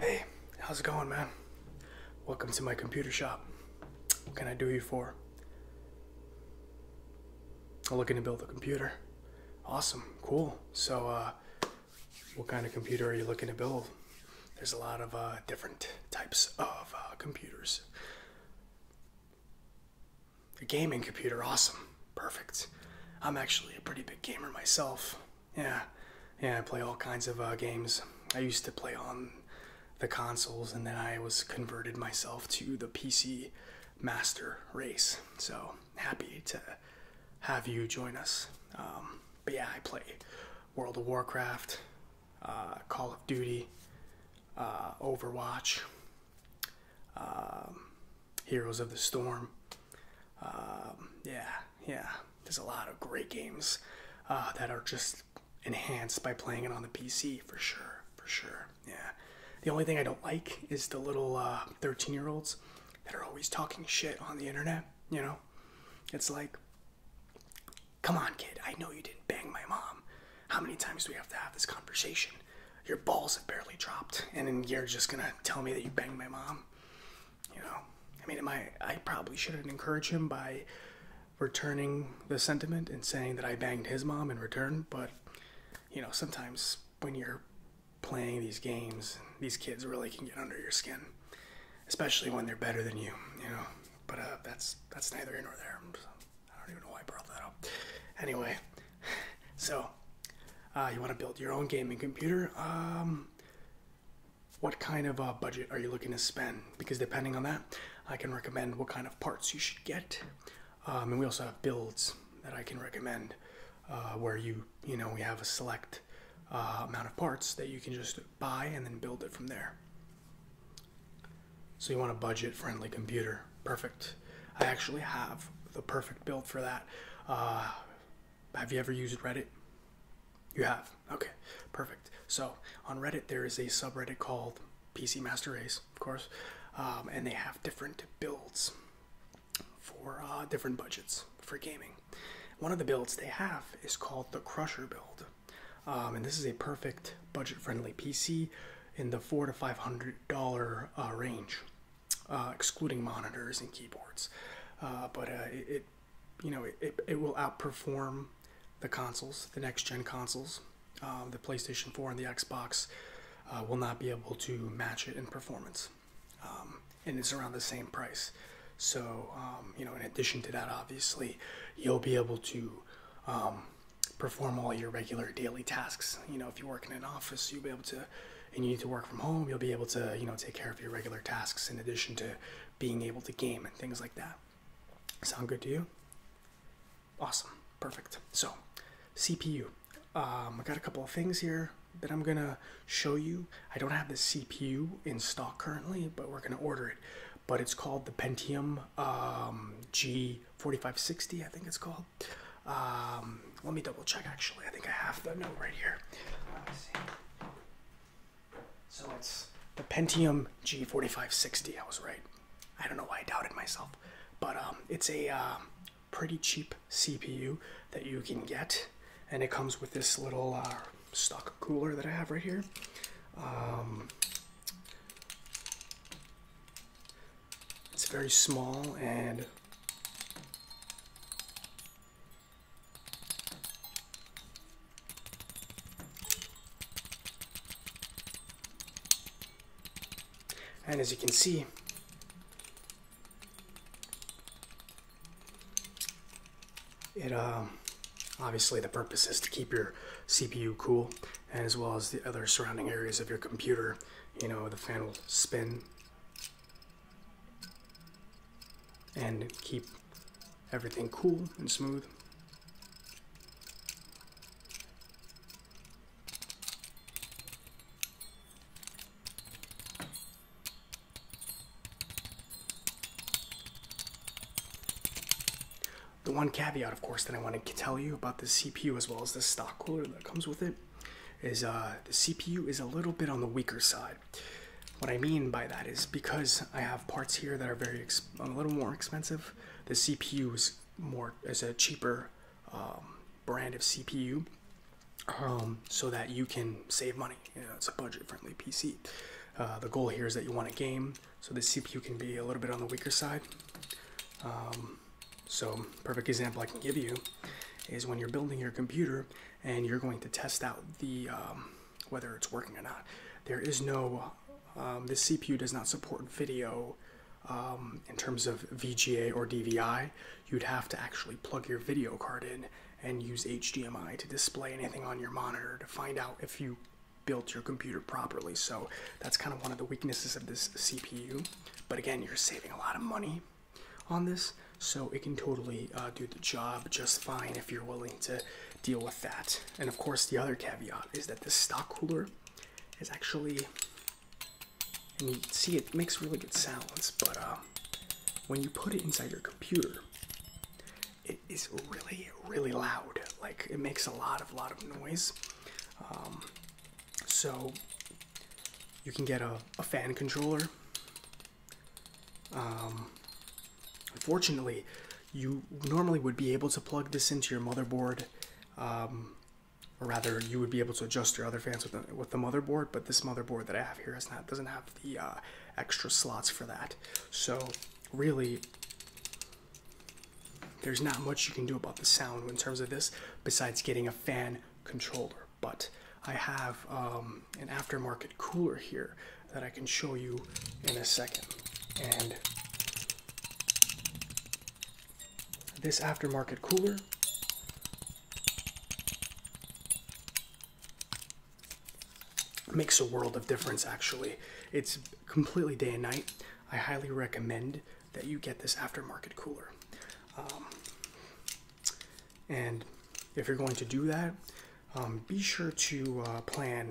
Hey, how's it going, man? Welcome to my computer shop. What can I do you for? I'm looking to build a computer. Awesome, cool. So, uh, what kind of computer are you looking to build? There's a lot of uh, different types of uh, computers. A gaming computer, awesome, perfect. I'm actually a pretty big gamer myself. Yeah, yeah, I play all kinds of uh, games. I used to play on the consoles, and then I was converted myself to the PC master race. So happy to have you join us. Um, but yeah, I play World of Warcraft, uh, Call of Duty, uh, Overwatch, um, Heroes of the Storm. Um, yeah, yeah there's a lot of great games uh, that are just enhanced by playing it on the PC for sure, for sure. Yeah. The only thing I don't like is the little uh, 13 year olds that are always talking shit on the internet. You know, it's like, come on, kid, I know you didn't bang my mom. How many times do we have to have this conversation? Your balls have barely dropped, and then you're just gonna tell me that you banged my mom you know, I mean, am I? I probably shouldn't encourage him by returning the sentiment and saying that I banged his mom in return. But you know, sometimes when you're playing these games, these kids really can get under your skin, especially when they're better than you. You know, but uh, that's that's neither here nor there. I don't even know why I brought that up. Anyway, so uh, you want to build your own gaming computer? Um, what kind of uh, budget are you looking to spend? Because depending on that, I can recommend what kind of parts you should get. Um, and we also have builds that I can recommend uh, where you, you know, we have a select uh, amount of parts that you can just buy and then build it from there. So you want a budget friendly computer. Perfect. I actually have the perfect build for that. Uh, have you ever used Reddit? You have. Okay, perfect. So on Reddit, there is a subreddit called PC Master Race, of course, um, and they have different builds for uh, different budgets for gaming. One of the builds they have is called the Crusher build, um, and this is a perfect budget-friendly PC in the four to five hundred dollar uh, range, uh, excluding monitors and keyboards. but it you know, it, it, will outperform the consoles, the next gen consoles. Um, the PlayStation 4 and the Xbox uh, will not be able to match it in performance. Um, and it's around the same price. So, um, you know, in addition to that, obviously, you'll be able to perform all your regular daily tasks. You know, if you work in an office, you'll be able to, and you need to work from home, you'll be able to, you know, take care of your regular tasks in addition to being able to game and things like that. Sound good to you? Awesome, perfect. So, CPU. Um, I got a couple of things here that I'm gonna show you. I don't have the CPU in stock currently, but we're gonna order it. But it's called the Pentium um, G4560, I think it's called. Um, let me double check actually. I think I have the note right here. So it's the Pentium G4560. I was right. I don't know why I doubted myself, but um, it's a um, pretty cheap CPU that you can get, and it comes with this little uh, stock cooler that I have right here. Um, it's very small and and as you can see, it um, obviously the purpose is to keep your CPU cool and as well as the other surrounding areas of your computer. You know, the fan will spin and keep everything cool and smooth. The one caveat, of course, that I want to tell you about the CPU as well as the stock cooler that comes with it is uh, the CPU is a little bit on the weaker side. What I mean by that is because I have parts here that are very a little more expensive. The CPU is more is a cheaper um, brand of CPU, um, so that you can save money. it's a budget-friendly PC. Uh, the goal here is that you want a game, so the CPU can be a little bit on the weaker side. Um, so perfect example I can give you is when you're building your computer and you're going to test out the um, whether it's working or not. There is no um, this CPU does not support video um, in terms of VGA or DVI. You'd have to actually plug your video card in and use HDMI to display anything on your monitor to find out if you built your computer properly. So that's kind of one of the weaknesses of this CPU. But again, you're saving a lot of money on this. So it can totally uh, do the job just fine if you're willing to deal with that. And of course, the other caveat is that the stock cooler is actually, and you see it makes really good sounds, but uh, when you put it inside your computer, it is really, really loud. Like it makes a lot of, lot of noise. Um, so you can get a fan controller um, unfortunately, you normally would be able to plug this into your motherboard, um, or rather, you would be able to adjust your other fans with the, motherboard. But this motherboard that I have here doesn't have the uh, extra slots for that. So really, there's not much you can do about the sound in terms of this besides getting a fan controller. But I have um, an aftermarket cooler here that I can show you in a second. And this aftermarket cooler makes a world of difference actually. It's completely day and night. I highly recommend that you get this aftermarket cooler. Um, and if you're going to do that, um, be sure to uh, plan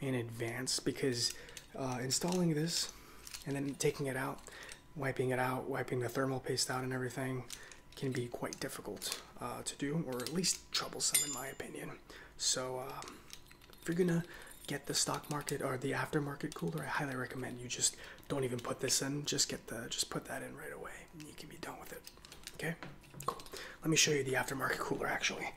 in advance because uh, installing this and then taking it out, wiping it out, wiping the thermal paste out and everything can be quite difficult uh, to do or at least troublesome in my opinion. So um, if you're gonna get the stock market or the aftermarket cooler, I highly recommend you just don't even put this in. Just get the just put that in right away. you can be done with it. Okay, Let me show you the aftermarket cooler actually.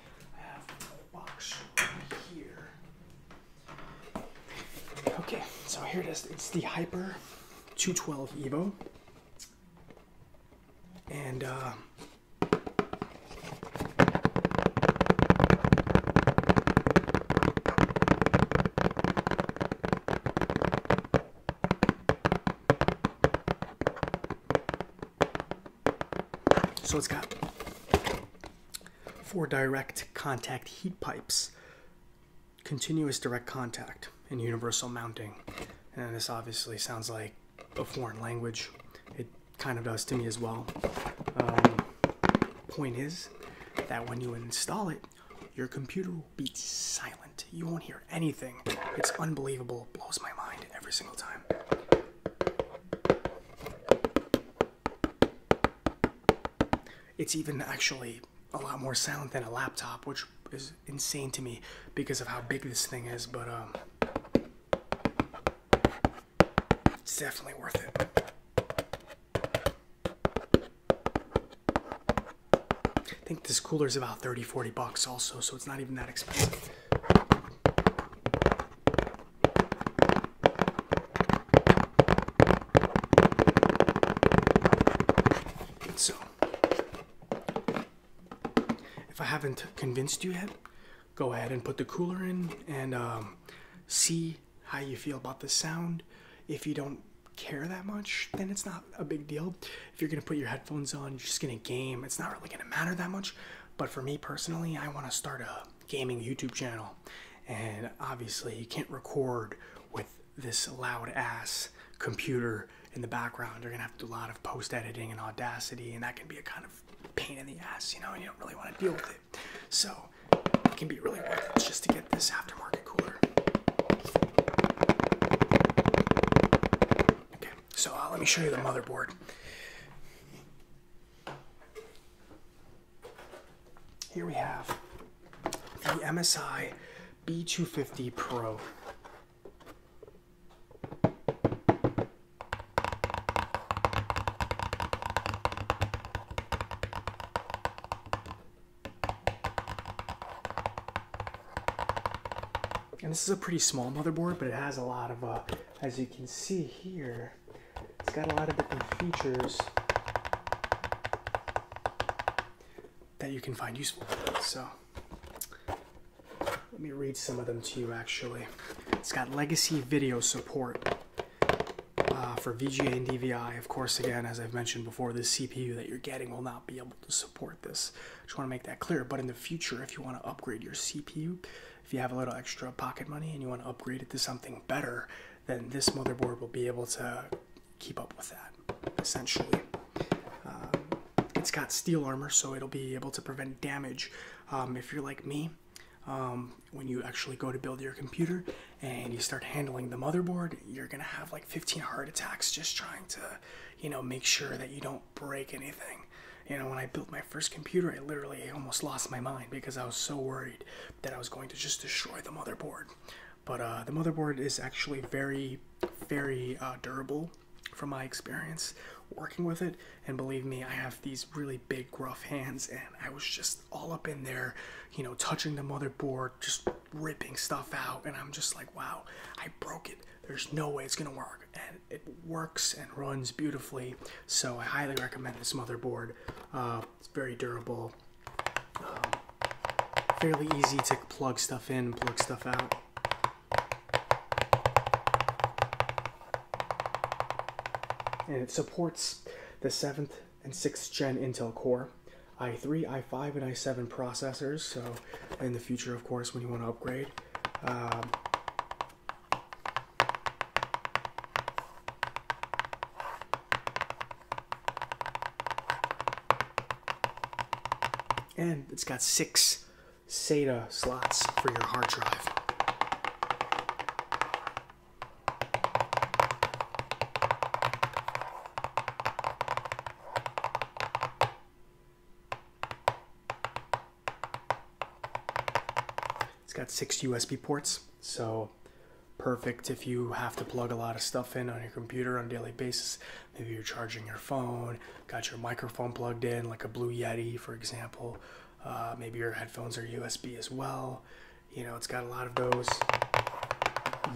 Okay, so here it is. It's the Hyper 212 Evo. And uh, so it's got four direct contact heat pipes, continuous direct contact, and universal mounting. And this obviously sounds like a foreign language. It kind of does to me as well. Um, point is that when you install it, your computer will be silent. You won't hear anything. It's unbelievable. Blows my mind every single time. It's even actually a lot more silent than a laptop, which is insane to me because of how big this thing is, but um it's definitely worth it. I think this cooler is about 30 40 bucks also so it's not even that expensive so, if I haven't convinced you yet, go ahead and put the cooler in and um, see how you feel about the sound. If you don't care that much, then it's not a big deal if you're gonna put your headphones on, you're just gonna game. It's not really gonna matter that much. But for me personally, I want to start a gaming YouTube channel, and obviously you can't record with this loud ass computer in the background. You're gonna have to do a lot of post editing and Audacity, and that can be a kind of pain in the ass, you know. And you don't really want to deal with it. So it can be really worth it just to get this aftermarket cooler. Okay. So uh, let me show you the motherboard. Here we have the MSI B250 Pro and this is a pretty small motherboard but it has a lot of uh, as you can see here it's got a lot of different features that you can find useful so let me read some of them to you actually it's got legacy video support uh, for VGA and DVI, of course, again, as I've mentioned before, this CPU that you're getting will not be able to support this. Just want to make that clear. But in the future, if you want to upgrade your CPU, if you have a little extra pocket money and you want to upgrade it to something better, then this motherboard will be able to keep up with that essentially. Um, it's got steel armor, so it'll be able to prevent damage. Um, if you're like me, um, when you actually go to build your computer and you start handling the motherboard, you're gonna have like 15 heart attacks just trying to, you know, make sure that you don't break anything. You know, when I built my first computer, I literally almost lost my mind because I was so worried that I was going to just destroy the motherboard. But uh, the motherboard is actually very, very uh, durable from my experience working with it. And believe me, I have these really big, gruff hands, and I was just all up in there, you know, touching the motherboard, just ripping stuff out. And I'm just like, wow, I broke it there's no way it's gonna work and it works and runs beautifully so i highly recommend this motherboard uh, it's very durable um, fairly easy to plug stuff in plug stuff out and it supports the 7th and 6th gen intel core i3 i5 and i7 processors so in the future of course when you want to upgrade um, and it's got six SATA slots for your hard drive. It's got six USB ports, so perfect if you have to plug a lot of stuff in on your computer on a daily basis. Maybe you're charging your phone, got your microphone plugged in, like a Blue Yeti, for example. Uh, maybe your headphones are USB as well. You know, it's got a lot of those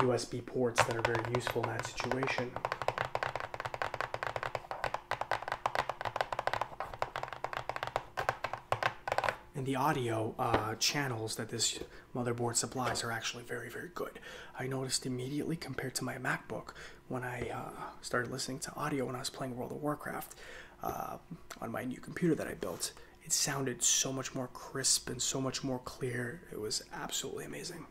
USB ports that are very useful in that situation. And the audio uh, channels that this motherboard supplies are actually very, very good. I noticed immediately compared to my MacBook when I uh, started listening to audio when I was playing World of Warcraft uh, on my new computer that I built. It sounded so much more crisp and so much more clear. It was absolutely amazing.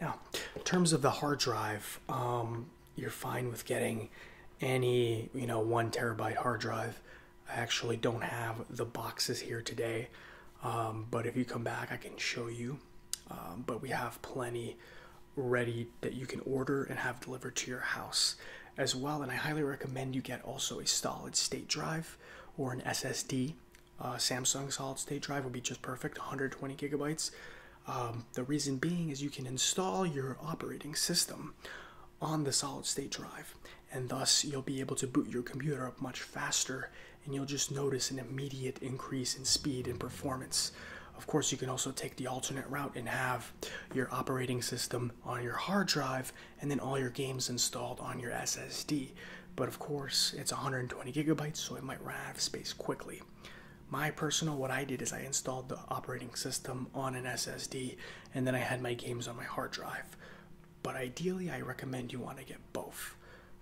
Now, in terms of the hard drive, um, you're fine with getting any, you know, one terabyte hard drive. I actually don't have the boxes here today, um, but if you come back, I can show you. Um, but we have plenty ready that you can order and have delivered to your house as well. And I highly recommend you get also a solid state drive or an SSD. Uh, Samsung solid state drive would be just perfect, 120 gigabytes. Um, the reason being is you can install your operating system on the solid state drive, and thus you'll be able to boot your computer up much faster, and you'll just notice an immediate increase in speed and performance. Of course, you can also take the alternate route and have your operating system on your hard drive and then all your games installed on your SSD. But of course, it's 120 gigabytes, so it might run out of space quickly. My personal, what I did is I installed the operating system on an SSD and then I had my games on my hard drive. But ideally, I recommend you want to get both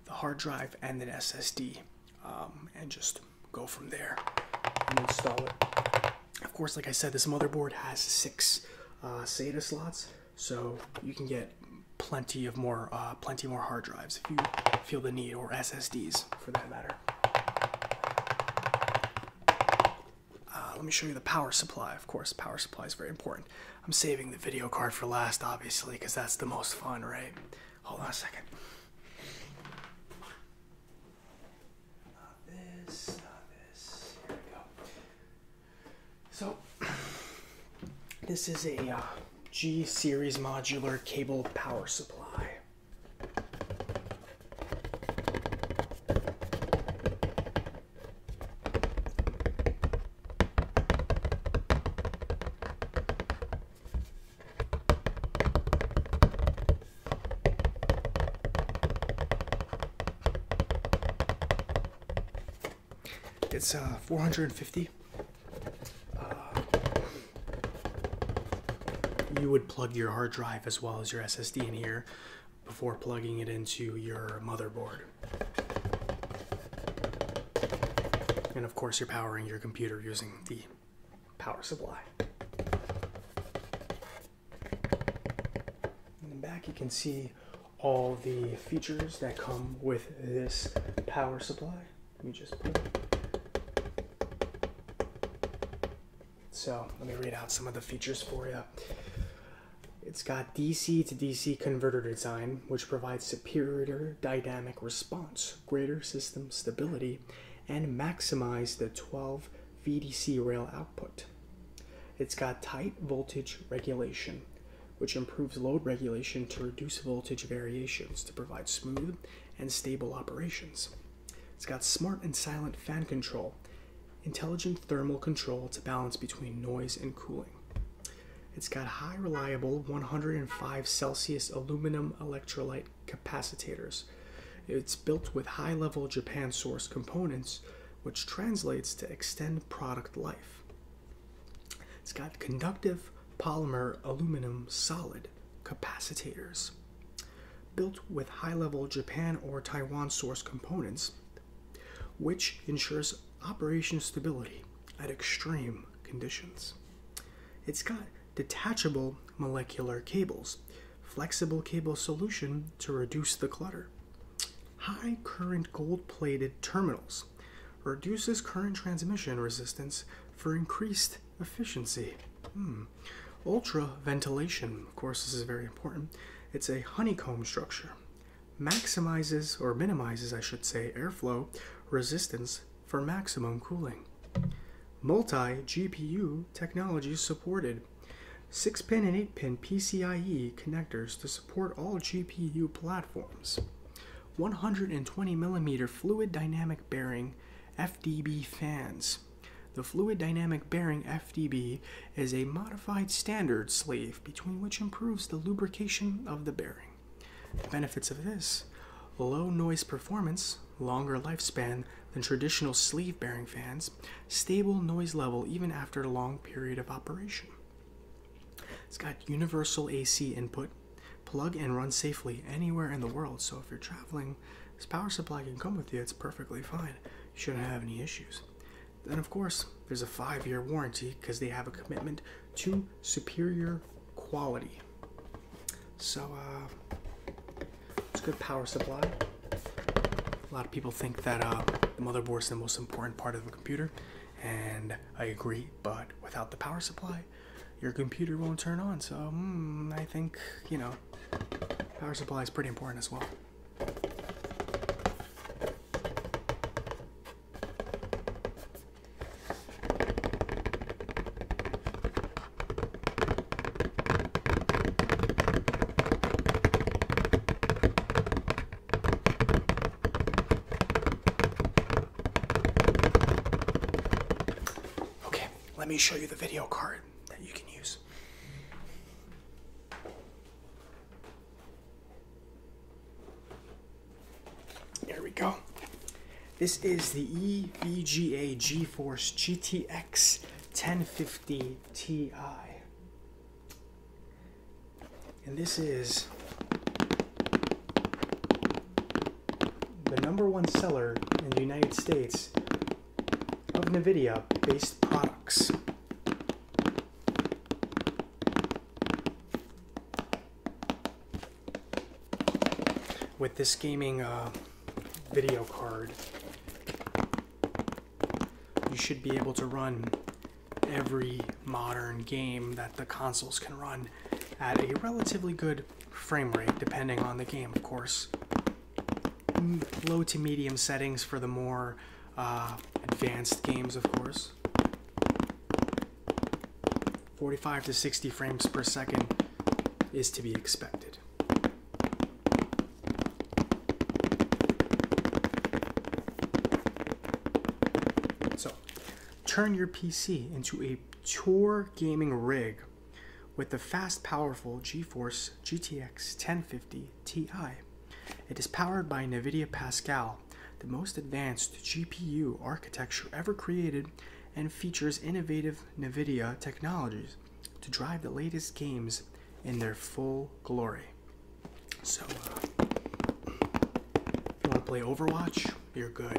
the hard drive and an SSD. Um, and just go from there and install it. Of course, like I said, this motherboard has six uh, SATA slots, so you can get plenty of more, uh, plenty more hard drives if you feel the need, or SSDs for that matter. Uh, let me show you the power supply. Of course, power supply is very important. I'm saving the video card for last, obviously, because that's the most fun, right? Hold on a second. Not this, not this. Here we go. So, this is a uh, G series modular cable power supply. It's uh, 450. Uh, you would plug your hard drive as well as your SSD in here before plugging it into your motherboard. And of course, you're powering your computer using the power supply. In the back, you can see all the features that come with this power supply. Let me just put So let me read out some of the features for you. It's got DC to DC converter design, which provides superior dynamic response greater system stability and maximize the 12 VDC rail output. It's got tight voltage regulation, which improves load regulation to reduce voltage variations to provide smooth and stable operations. It's got smart and silent fan control, intelligent thermal control to balance between noise and cooling. It's got high reliable 105 Celsius aluminum electrolyte Capacitators. It's built with high level Japan source components, which translates to extend product life. It's got conductive polymer aluminum solid capacitors. Built with high level Japan or Taiwan source components, which ensures operation stability at extreme conditions. It's got detachable molecular cables, flexible cable solution to reduce the clutter. High current gold plated terminals reduces current transmission resistance for increased efficiency. Hmm. Ultra ventilation, of course, this is very important. It's a honeycomb structure. Maximizes or minimizes, I should say, airflow resistance for maximum cooling. Multi-GPU technology supported. 6-pin and 8-pin PCIe connectors to support all GPU platforms. 120mm fluid dynamic bearing FDB fans. The fluid dynamic bearing FDB is a modified standard sleeve between which improves the lubrication of the bearing. benefits of this low noise performance, longer lifespan, than traditional sleeve bearing fans, stable noise level even after a long period of operation. It's got universal AC input, plug and run safely anywhere in the world, so if you're traveling, this power supply can come with you, it's perfectly fine. You shouldn't have any issues. Then, of course, there's a five year warranty because they have a commitment to superior quality. So uh, it's a good power supply. A lot of people think that uh, the motherboard is the most important part of a computer, and I agree. But without the power supply, your computer won't turn on. So hmm, I think you know, power supply is pretty important as well. Okay, let me show you the video card that you can use. There we go. This is the EVGA GeForce GTX 1050 Ti. And this is the number one seller in the United States of NVIDIA based products. With this gaming uh, video card, you should be able to run every modern game that the consoles can run at a relatively good frame rate, depending on the game, of course. Low to medium settings for the more uh, advanced games, of course. 45 to 60 frames per second is to be expected. So, turn your PC into a tour gaming rig with the fast, powerful GeForce GTX 1050 Ti. It is powered by NVIDIA Pascal, the most advanced GPU architecture ever created, and features innovative NVIDIA technologies to drive the latest games in their full glory. So, uh, if you want to play Overwatch, you're good.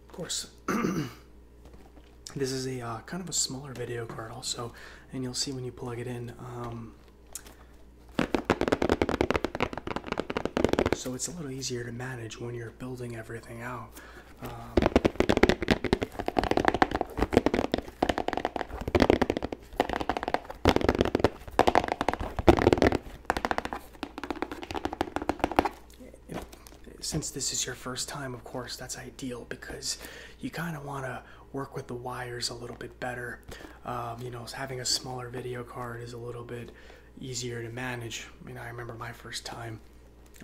Of course, this is a uh, kind of a smaller video card also, and you'll see when you plug it in. Um, so it's a little easier to manage when you're building everything out. Um, since this is your first time, of course, that's ideal because you kind of want to work with the wires a little bit better. Um, you know, having a smaller video card is a little bit easier to manage. I mean, I remember my first time,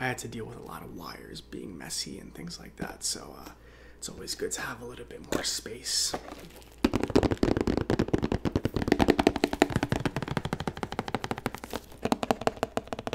I had to deal with a lot of wires being messy and things like that. So uh, it's always good to have a little bit more space.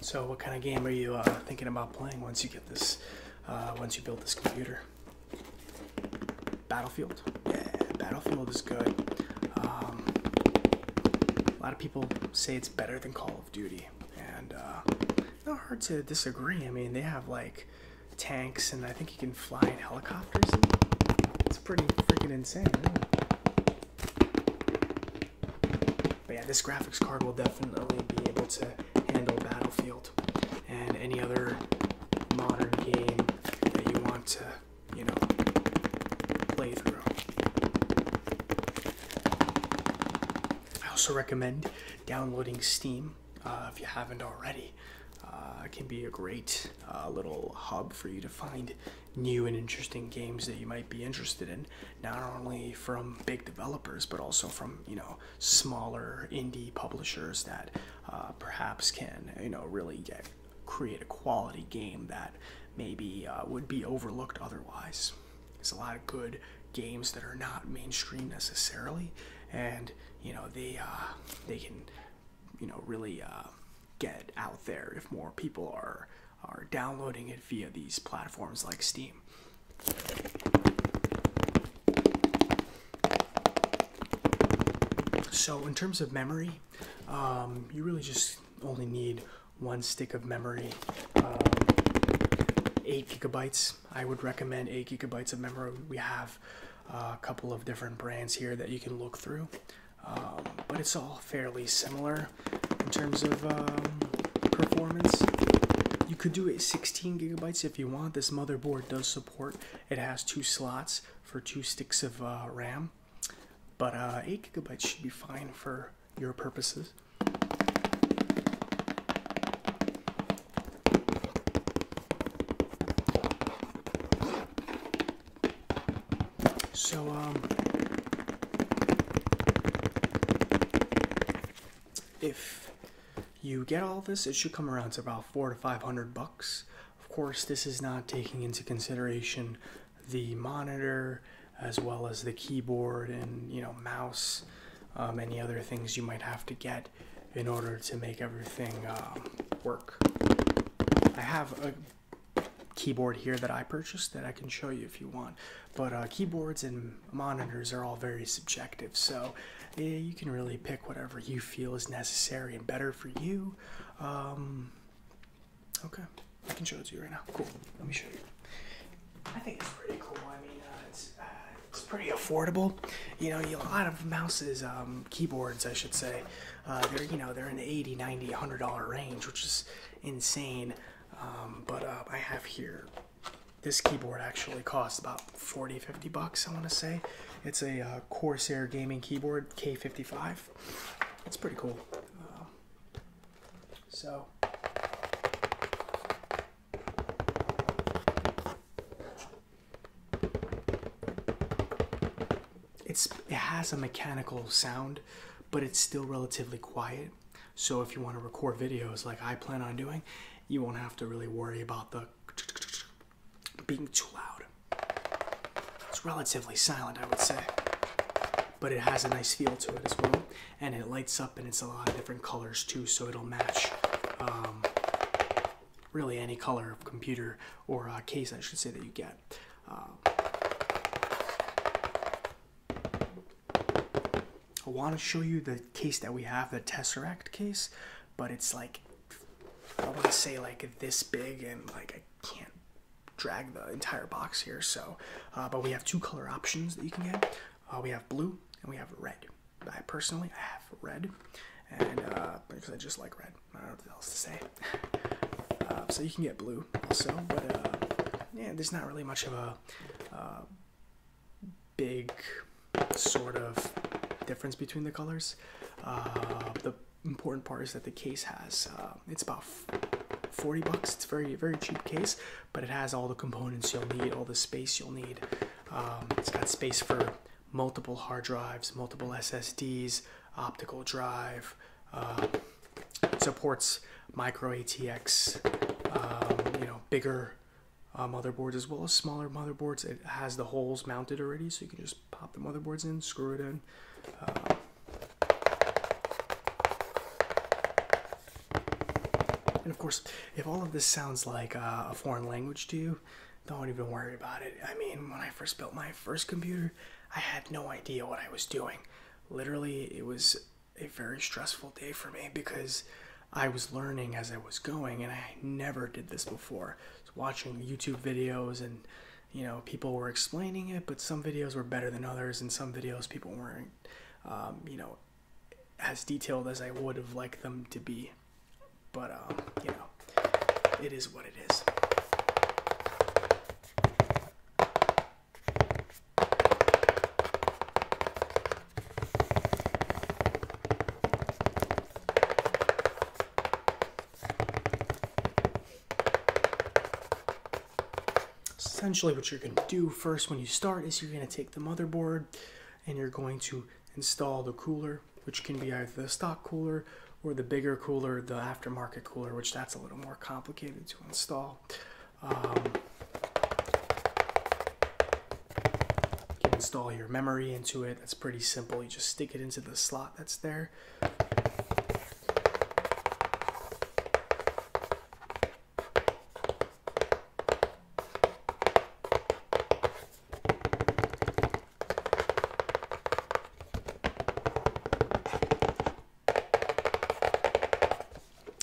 So what kind of game are you uh, thinking about playing once you get this, uh, once you build this computer? Battlefield? Yeah, Battlefield is good. Um, a lot of people say it's better than Call of Duty, and uh, not hard to disagree. I mean, they have like tanks, and I think you can fly in helicopters. It's pretty freaking insane. But yeah, this graphics card will definitely be able to handle Battlefield and any other modern game that you want to, you know, play through. I also recommend downloading Steam uh, if you haven't already. Uh, it can be a great uh, little hub for you to find new and interesting games that you might be interested in not only from big developers but also from you know smaller indie publishers that uh, perhaps can you know really get create a quality game that maybe uh, would be overlooked otherwise. There's a lot of good games that are not mainstream necessarily, and you know they uh, they can you know really get out there if more people are are downloading it via these platforms like Steam. So, in terms of memory, um, you really just only need one stick of memory. Um, 8 gigabytes. I would recommend 8 gigabytes of memory. We have uh, a couple of different brands here that you can look through, um, but it's all fairly similar in terms of um, performance. You could do it 16 gigabytes if you want. This motherboard does support. It has two slots for two sticks of uh, RAM, but uh, 8 gigabytes should be fine for your purposes. So, um, if you get all this, it should come around to about four to five hundred bucks. Of course, this is not taking into consideration the monitor as well as the keyboard and you know mouse, um, any other things you might have to get in order to make everything um, work. I have a keyboard here that I purchased that I can show you if you want but uh, keyboards and monitors are all very subjective so you can really pick whatever you feel is necessary and better for you um, okay i can show it to you right now cool let me show you i think it's pretty cool i mean uh, uh, it's, pretty affordable you know a lot of mice, um, keyboards i should say they're you know they're in the 80 90 100 dollar range which is insane um, but i have here this keyboard actually costs about 40 50 bucks i want to say it's a uh, corsair gaming keyboard k55 it's pretty cool uh, so it's it has a mechanical sound but it's still relatively quiet so if you want to record videos like I plan on doing, you won't have to really worry about the being too loud. It's relatively silent, I would say. But it has a nice feel to it as well. And it lights up and it's a lot of different colors too, so it'll match um, really any color of computer or uh, case, I should say, that you get. Uh, I want to show you the case that we have, the Tesseract case, but it's like I want to say like this big, and like I can't drag the entire box here. So, uh, but we have two color options that you can get. Uh, we have blue and we have red. I personally I have red, and uh, because I just like red. I don't know what else to say. Uh, so you can get blue also, but uh, yeah, there's not really much of a big sort of difference between the colors. Uh, the important part is that the case has uh, it's about 40 bucks. It's very very cheap case, but it has all the components you'll need, all the space you'll need. Um, it's got space for multiple hard drives, multiple SSDs, optical drive. Uh, supports micro ATX, um, you know, bigger uh, motherboards as well as smaller motherboards. It has the holes mounted already, so you can just pop the motherboards in, screw it in. Uh, and of course, if all of this sounds like uh, a foreign language to you, don't even worry about it. I mean, when I first built my first computer, I had no idea what I was doing. Literally, it was a very stressful day for me because I was learning as I was going, and I never did this before. watching YouTube videos, and you know, people were explaining it, but some videos were better than others, and some videos people weren't, um, you know, as detailed as I would have liked them to be. But um, you know, it is what it is essentially what you're going to do first when you start is you're going to take the motherboard and you're going to install the cooler which can be either the stock cooler or the bigger cooler the aftermarket cooler which that's a little more complicated to install um, you can install your memory into it. That's pretty simple. You just stick it into the slot that's there.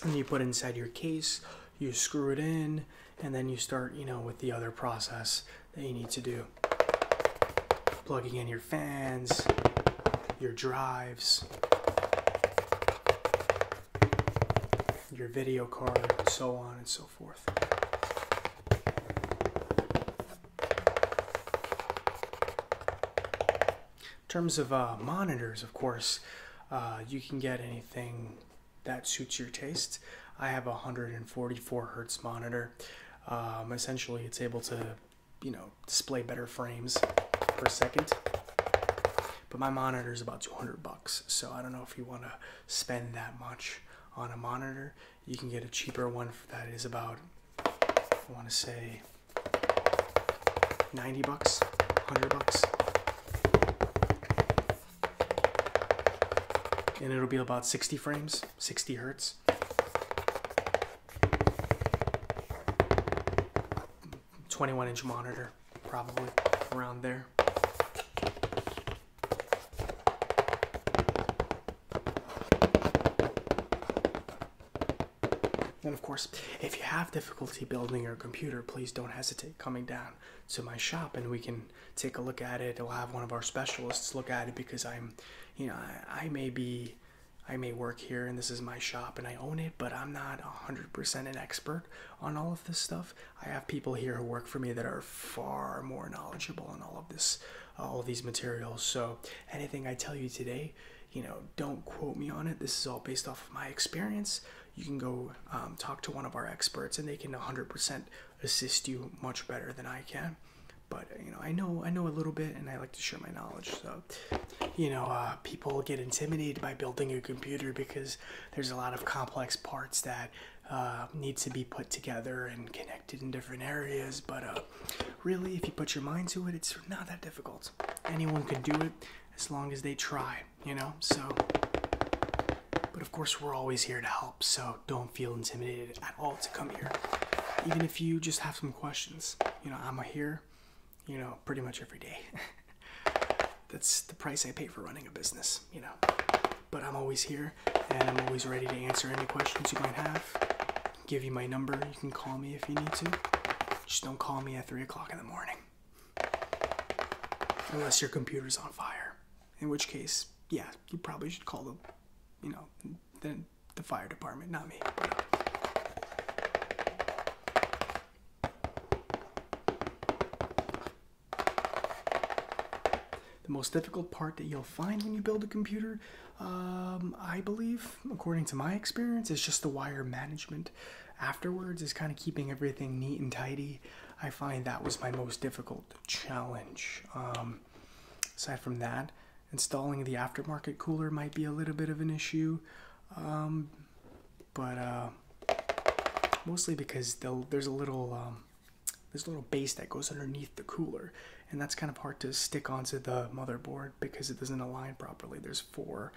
and you put inside your case you screw it in, and then you start, you know, with the other process that you need to do. Plugging in your fans, your drives, your video card, and so on and so forth. In terms of uh, monitors, of course, uh, you can get anything that suits your taste. I have a 144 hertz monitor. Um, essentially, it's able to, you know, display better frames per second. But my monitor is about 200 bucks, so I don't know if you want to spend that much on a monitor. You can get a cheaper one that is about, I want to say, 90 bucks, 100 bucks and it'll be about 60 frames, 60 hertz. Twenty-one inch monitor, probably around there. And of course, if you have difficulty building your computer, please don't hesitate coming down to my shop and we can take a look at it. I'll have one of our specialists look at it because I'm, you know, I, may be, I may work here and this is my shop and I own it, but I'm not 100% an expert on all of this stuff. I have people here who work for me that are far more knowledgeable on all of this, uh, all these materials. So anything I tell you today, you know, don't quote me on it. This is all based off of my experience you can go um, talk to one of our experts and they can 100% assist you much better than I can. But you know, I know I know a little bit, and I like to share my knowledge. So, you know, uh, people get intimidated by building a computer because there's a lot of complex parts that uh, need to be put together and connected in different areas. But uh, really, if you put your mind to it, it's not that difficult. Anyone can do it as long as they try you know? So, but of course, we're always here to help, so don't feel intimidated at all to come here. Even if you just have some questions, you know, I'm here, you know, pretty much every day. That's the price I pay for running a business, you know. But I'm always here and I'm always ready to answer any questions you might have. Give you my number, you can call me if you need to. Just don't call me at 3 o'clock in the morning. Unless your computer's on fire, in which case, yeah, you probably should call the, you know, the, the fire department, not me. Uh, the most difficult part that you'll find when you build a computer, um, I believe, according to my experience, is just the wire management afterwards, is kind of keeping everything neat and tidy. I find that was my most difficult challenge. Um, aside from that, installing the aftermarket cooler might be a little bit of an issue, um, but uh, mostly because there's a little um, there's a little base that goes underneath the cooler, and that's kind of hard to stick onto the motherboard because it doesn't align properly. There's four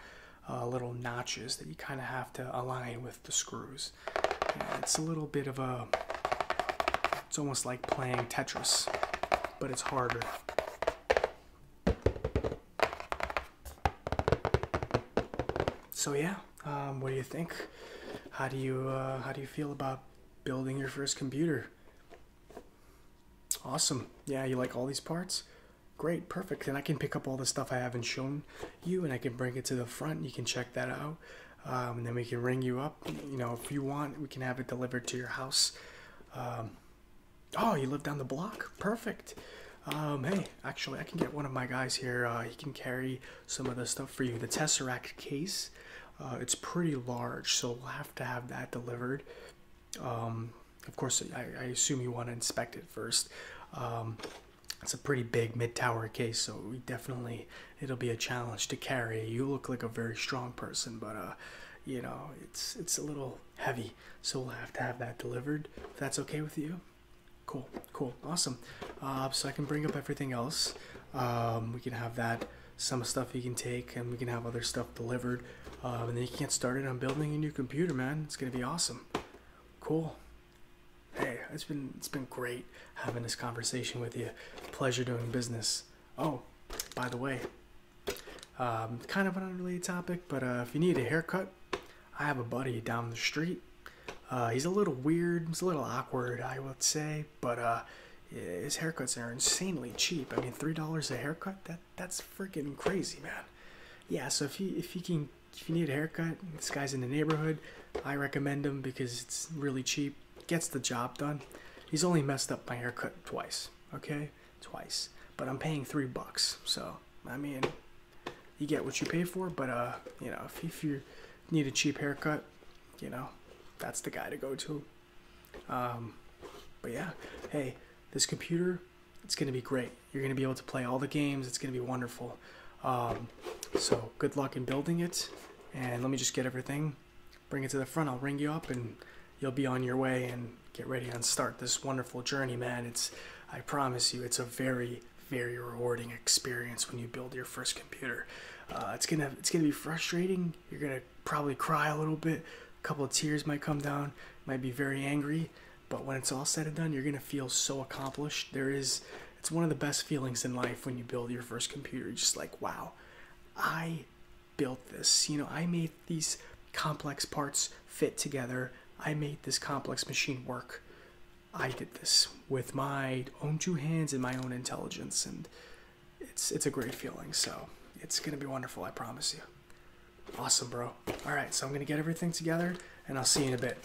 uh, little notches that you kind of have to align with the screws it's a little bit of a. It's almost like playing Tetris, but it's harder. So yeah, um, what do you think? How do you uh, how do you feel about building your first computer? Awesome. Yeah, you like all these parts? Great, perfect. Then I can pick up all the stuff I haven't shown you and I can bring it to the front. You can check that out. Um, and then we can ring you up. You know, if you want, we can have it delivered to your house. Um, oh, you live down the block? Perfect. Um, hey, actually, I can get one of my guys here. Uh, he can carry some of the stuff for you. The Tesseract case, uh, it's pretty large, so we'll have to have that delivered. of course, I, assume you want to inspect it first it's a pretty big mid tower case, so we definitely it'll be a challenge to carry. You look like a very strong person, but uh, you know it's it's a little heavy, so we'll have to have that delivered. If that's okay with you, cool, cool, awesome. Uh, so I can bring up everything else. Um, we can have that some stuff you can take, and we can have other stuff delivered, um, and then you can get started on building a new computer, man. It's gonna be awesome. Cool. Hey, it's been it's been great having this conversation with you. Pleasure doing business. Oh, by the way, um, kind of an unrelated topic, but uh, if you need a haircut, I have a buddy down the street. Uh, he's a little weird. He's a little awkward, I would say, but uh, his haircuts are insanely cheap. I mean, three dollars a haircut. That that's freaking crazy, man. Yeah. So if you if you can if you need a haircut, this guy's in the neighborhood. I recommend him because it's really cheap, gets the job done. He's only messed up my haircut twice, okay? Twice. But I'm paying three bucks, so I mean, you get what you pay for. But uh, you know, if, if you need a cheap haircut, you know, that's the guy to go to. Um, but yeah, hey, this computer, it's gonna be great. You're gonna be able to play all the games. It's gonna be wonderful. Um, so good luck in building it. And let me just get everything, bring it to the front. I'll ring you up and you'll be on your way and get ready and start this wonderful journey, man. It's, I promise you, it's a very, very rewarding experience when you build your first computer. Uh, it's gonna, it's gonna be frustrating. You're gonna probably cry a little bit. A couple of tears might come down. Might be very angry, but when it's all said and done, you're gonna feel so accomplished. There is it's one of the best feelings in life when you build your first computer. just like, wow, I built this. You know, I made these complex parts fit together. I made this complex machine work. I did this with my own two hands and my own intelligence, and it's it's a great feeling. So it's gonna be wonderful, I promise you. Awesome, bro. All right, so I'm gonna get everything together, and I'll see you in a bit.